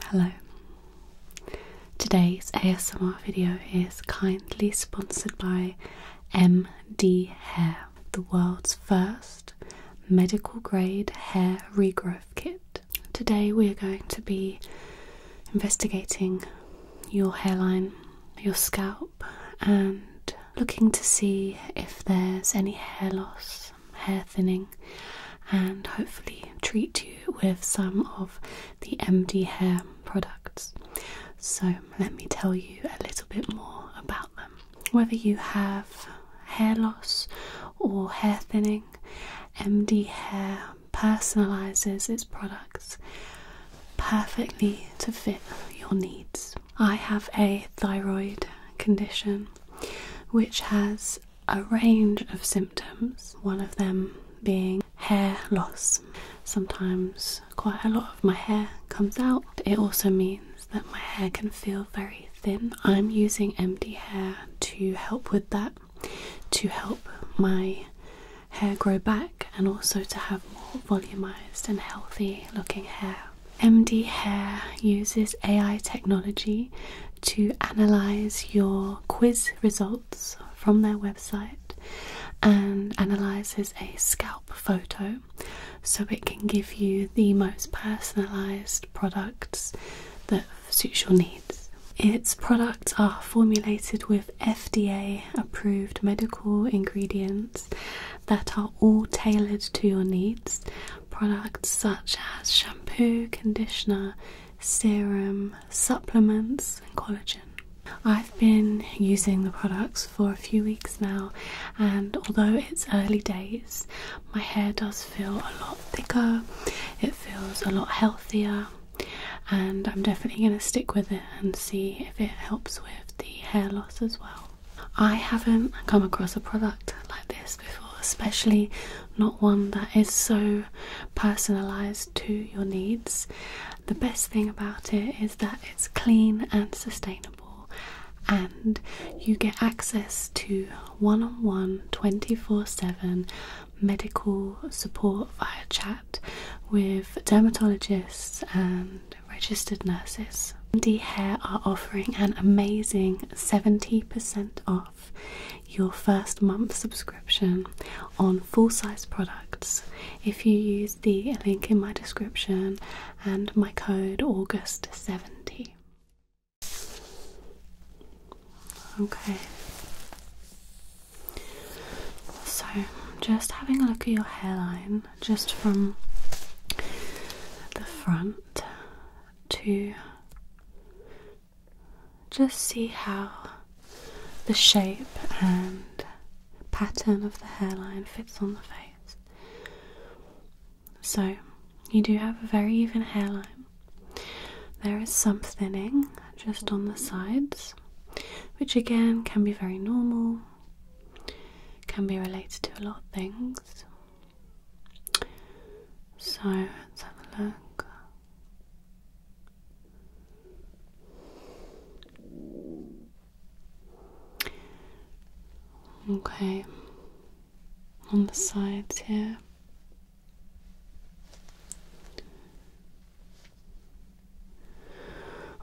Hello. Today's ASMR video is kindly sponsored by MD Hair, the world's first medical grade hair regrowth kit. Today we are going to be investigating your hairline, your scalp, and looking to see if there's any hair loss hair thinning and hopefully treat you with some of the MD hair products. So, let me tell you a little bit more about them. Whether you have hair loss or hair thinning, MD Hair personalizes its products perfectly to fit your needs. I have a thyroid condition which has a range of symptoms, one of them being hair loss. Sometimes quite a lot of my hair comes out. It also means that my hair can feel very thin. I'm using empty hair to help with that, to help my hair grow back and also to have more volumized and healthy looking hair. MD Hair uses AI technology to analyze your quiz results from their website and analyzes a scalp photo so it can give you the most personalized products that suit your needs. Its products are formulated with FDA approved medical ingredients that are all tailored to your needs. Products such as shampoo, conditioner, serum, supplements, and collagen. I've been using the products for a few weeks now, and although it's early days, my hair does feel a lot thicker, it feels a lot healthier, and I'm definitely going to stick with it and see if it helps with the hair loss as well. I haven't come across a product like this before, especially not one that is so personalized to your needs. The best thing about it is that it's clean and sustainable, and you get access to one on one 24 7 medical support via chat with dermatologists and registered nurses. MD Hair are offering an amazing 70% off your first month subscription on full size products if you use the link in my description and my code August70. Okay, so just having a look at your hairline just from the front to just see how the shape and pattern of the hairline fits on the face. So, you do have a very even hairline. There is some thinning just on the sides, which again can be very normal, can be related to a lot of things. So let's have a look. Okay, on the sides here.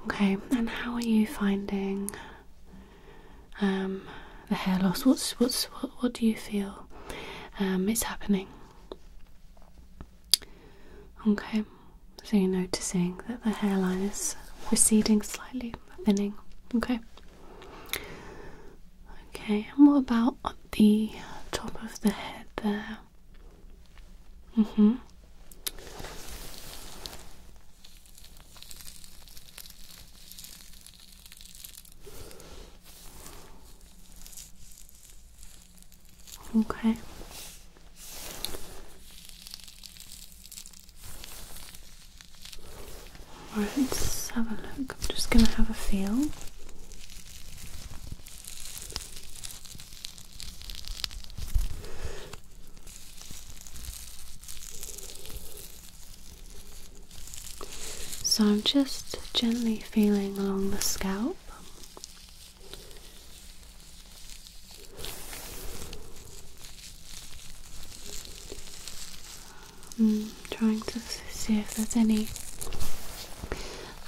Okay, and how are you finding um, the hair loss. What's what's what? What do you feel? Um, it's happening. Okay, so you're noticing that the hairline is receding slightly, thinning. Okay. Okay, and what about the top of the head there? Mm hmm. Okay. right, let's have a look. I'm just going to have a feel. So I'm just gently feeling along the scalp. Mm, trying to see if there's any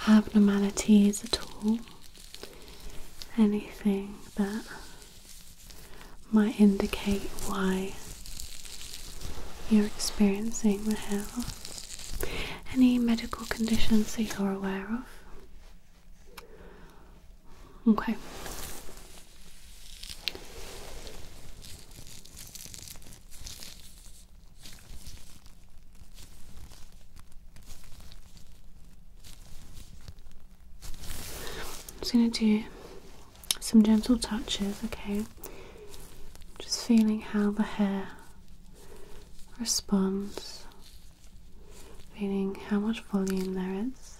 abnormalities at all, anything that might indicate why you're experiencing with her. Any medical conditions that you're aware of? Okay. I'm going to do some gentle touches, okay? Just feeling how the hair responds, feeling how much volume there is.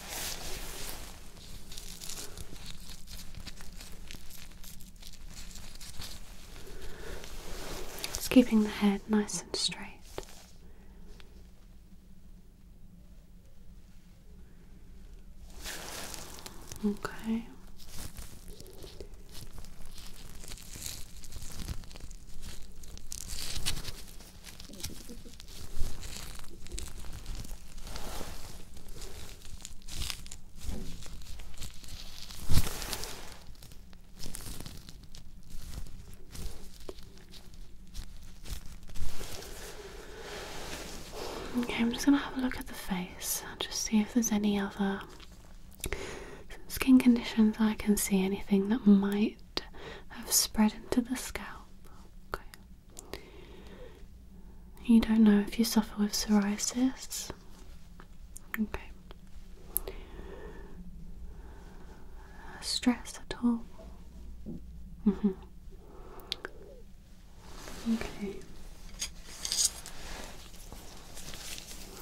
It's keeping the head nice and straight. Okay. Okay, I'm just going to have a look at the face and just see if there's any other skin conditions I can see anything that might would have spread into the scalp. You don't know if you suffer with psoriasis. Okay. Stress at all? Mm-hmm. Okay.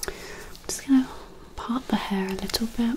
I'm just going to part the hair a little bit.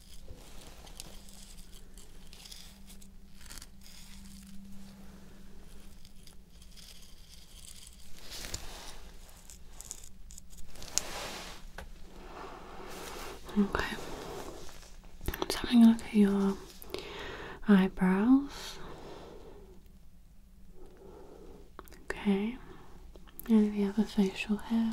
Okay. Just having a look at your eyebrows. Okay. And the other facial hair.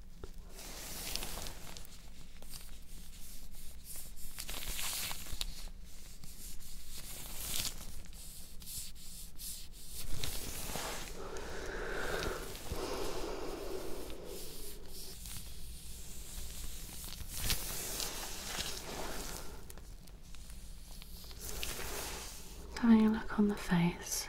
Having a look on the face,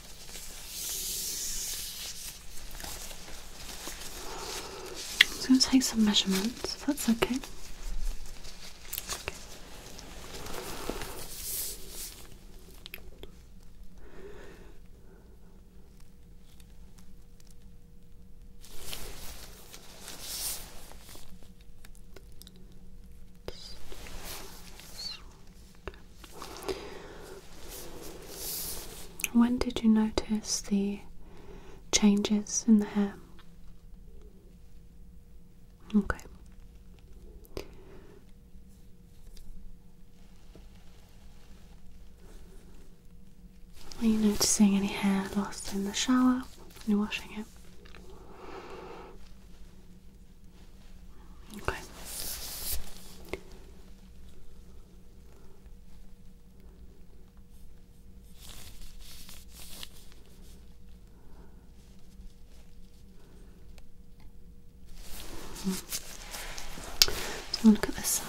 I'm going to take some measurements, if that's okay. When did you notice the changes in the hair? Okay. Are you noticing any hair lost in the shower when you're washing it? Okay. So look at this side.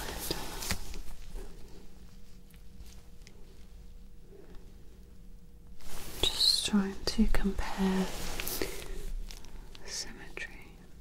Just trying to compare symmetry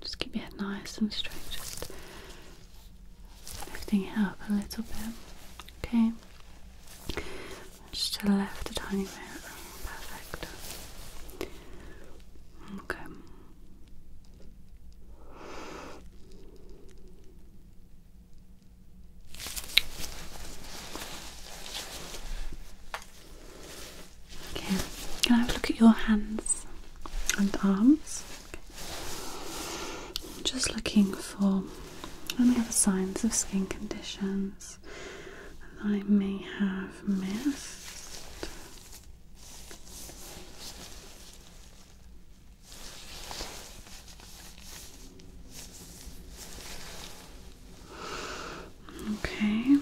Just keep your head nice and straight, just lifting it up a little bit. Okay. Just to the left a tiny bit. Perfect. Okay. Okay, can I have a look at your hands and arms? Just looking for any other signs of skin conditions things I may have missed. Okay.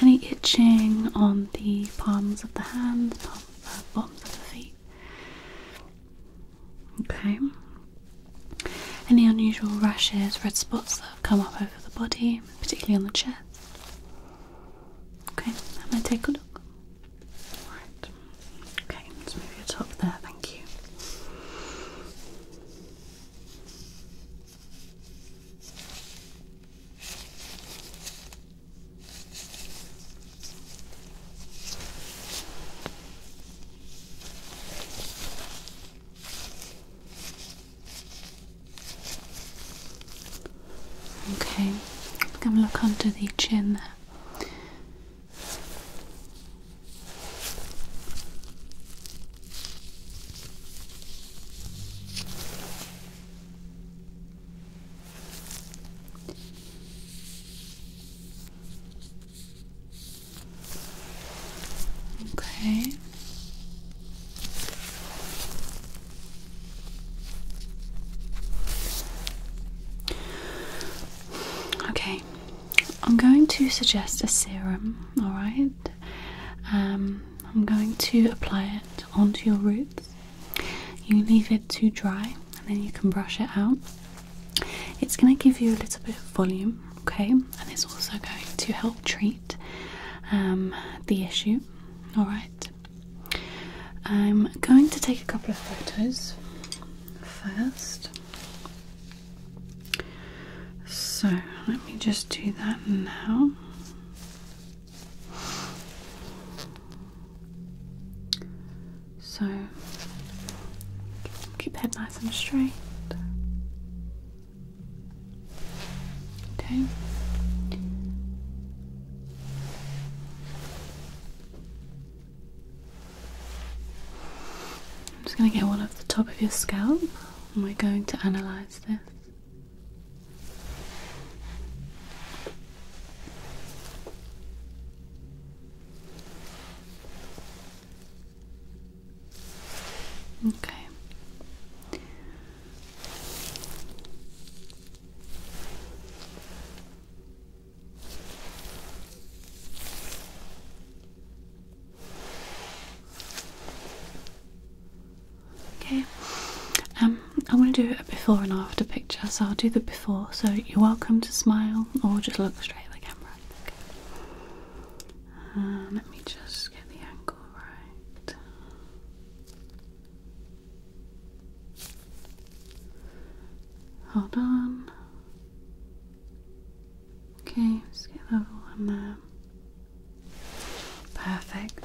Any itching on the palms of the hands, or the bottoms of the feet? Okay. Any unusual rashes, red spots that have come up over the body? particularly on the chest. Okay, I'm take a look. Right. Okay, let's move your top there, thank you. Okay, come look under the chin Okay. Okay, I'm going to suggest a serum, alright? Um, I'm going to apply it onto your roots. You leave it to dry and then you can brush it out. It's going to give you a little bit of volume, okay, and it's also going to help treat um, the issue. All right, I'm going to take a couple of photos first. So let me just do that now. So keep head nice and straight. Okay. I'm just going to get one off the top of your scalp and we're going to analyze this. Okay. Okay, um, I want to do a before and after picture, so I'll do the before. So you're welcome to smile or just look straight at the camera. Okay. Uh, let me just get the angle right. Hold on. Okay, let's get another on there. Perfect.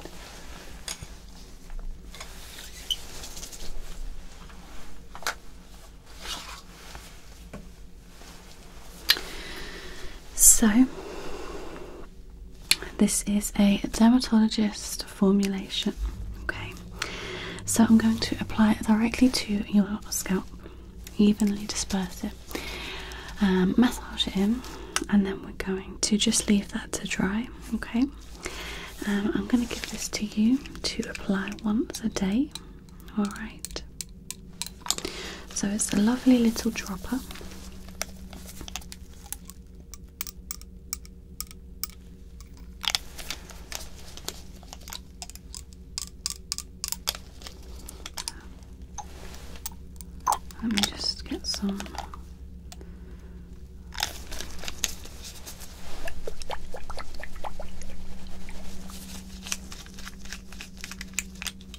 So, this is a dermatologist formulation. Okay, so I'm going to apply it directly to your scalp, evenly disperse it, um, massage it in, and then we're going to just leave that to dry. Okay, um, I'm going to give this to you to apply once a day. Alright. So it's a lovely little dropper. Let me just get some.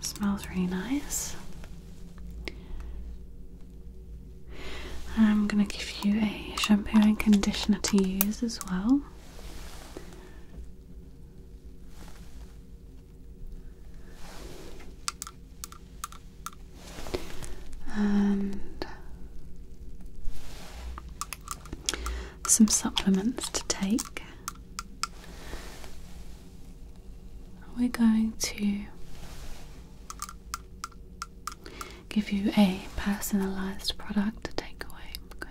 smells really nice. I'm going to give you a shampoo and conditioner to use as well. And some supplements to take. We're going to give you a personalized product to take away. Okay.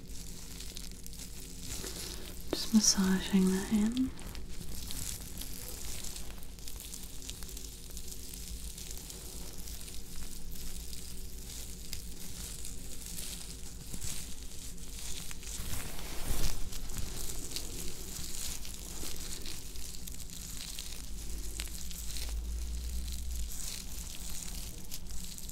Just massaging that in.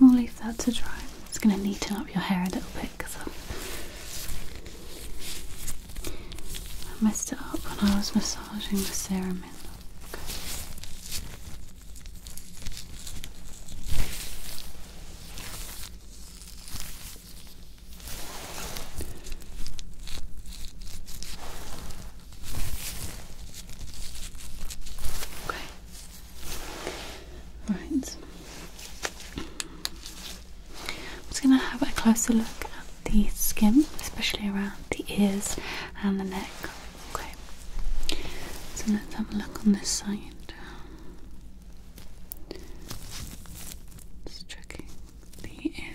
we'll leave that to dry. It's going to neaten up your hair a little bit because I messed it up when I was massaging the serum in. Okay, Right. I'm just going to have a closer look at the skin, especially around the ears and the neck. Okay. So let's have a look on this side. Just checking the ear.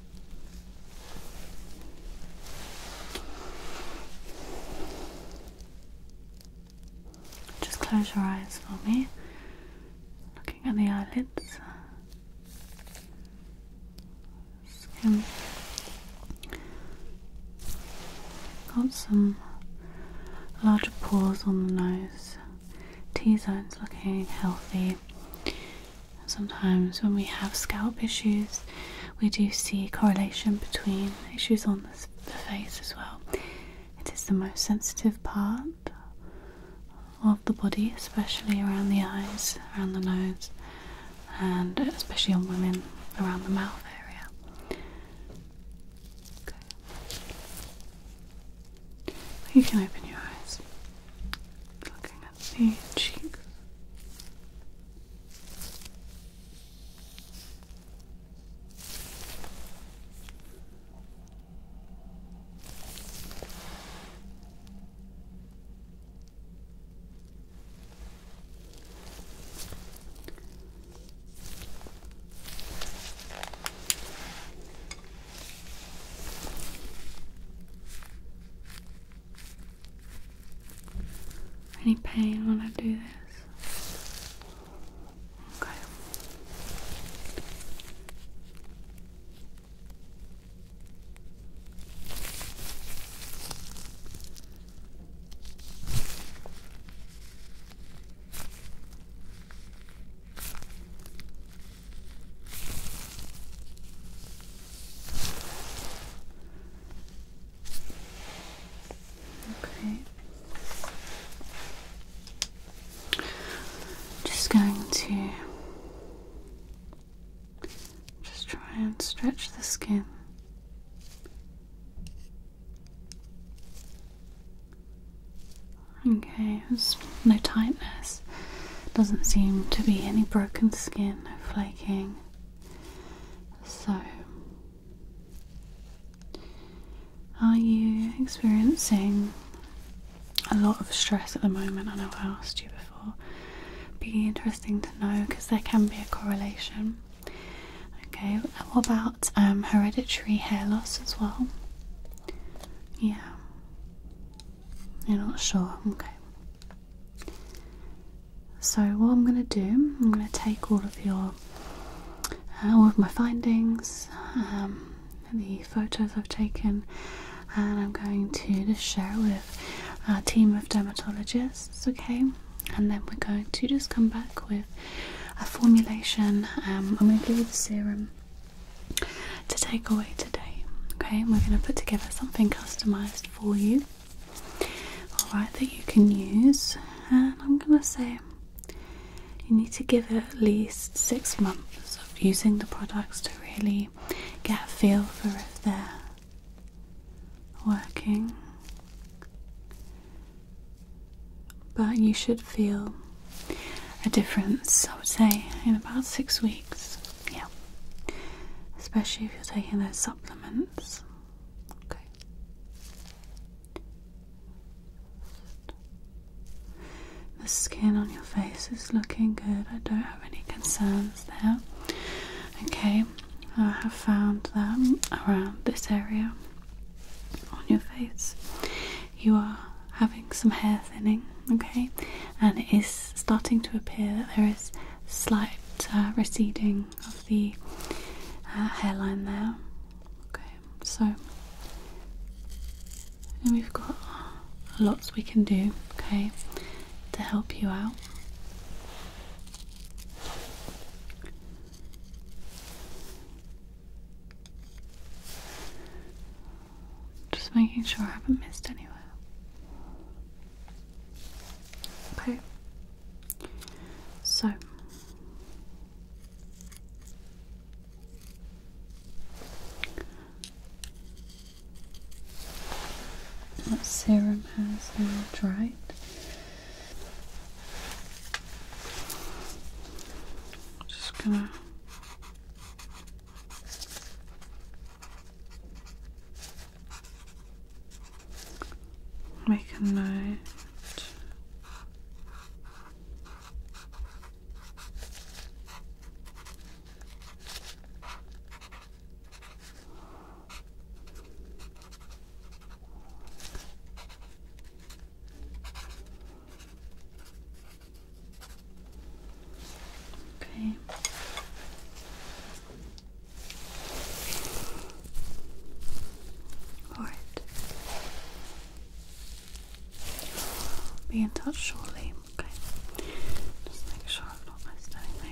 Just close your eyes for me. Looking at the eyelids. Skin. Got some larger pores on the nose. T zone's looking healthy. Sometimes, when we have scalp issues, we do see correlation between issues on the, face as well. It is the most sensitive part of the body, especially around the eyes, around the nose, and especially on women around the mouth area. You can open your eyes. Looking at the cheeks. Any pain when I do this? Okay. Okay. Just going to just try and stretch the skin. Okay, there's no tightness. Doesn't seem to be any broken skin, no flaking. So, are you experiencing a lot of stress at the moment? I know I asked you before. Would Be interesting to know because there can be a correlation. Okay, what about um, hereditary hair loss as well? Yeah. You're not sure? Okay. So what I'm going to do, I'm going to take all of your, uh, all of my findings, um, the photos I've taken, and I'm going to just share it with our team of dermatologists. Okay, and then we're going to just come back with a formulation. Um, I'm going to give you the serum to take away today. Okay, we're going to put together something customized for you, all right, that you can use. And I'm going to say you need to give it at least six months of using the products to really get a feel for if they're working. But you should feel a difference, I would say, in about six weeks. Yeah. Especially if you're taking those supplements. Okay. The skin on your face is looking good. I don't have any concerns there. Okay, I have found that around this area on your face you are having some hair thinning okay, and it is starting to appear that there is slight uh, receding of the uh, hairline there. Okay, so we've got lots we can do, okay, to help you out. Just making sure I haven't missed anywhere. Okay. So. That serum has now dried. Just gonna Make a note. Okay. All right. Be in touch shortly. Okay. Just make sure I've not missed anything.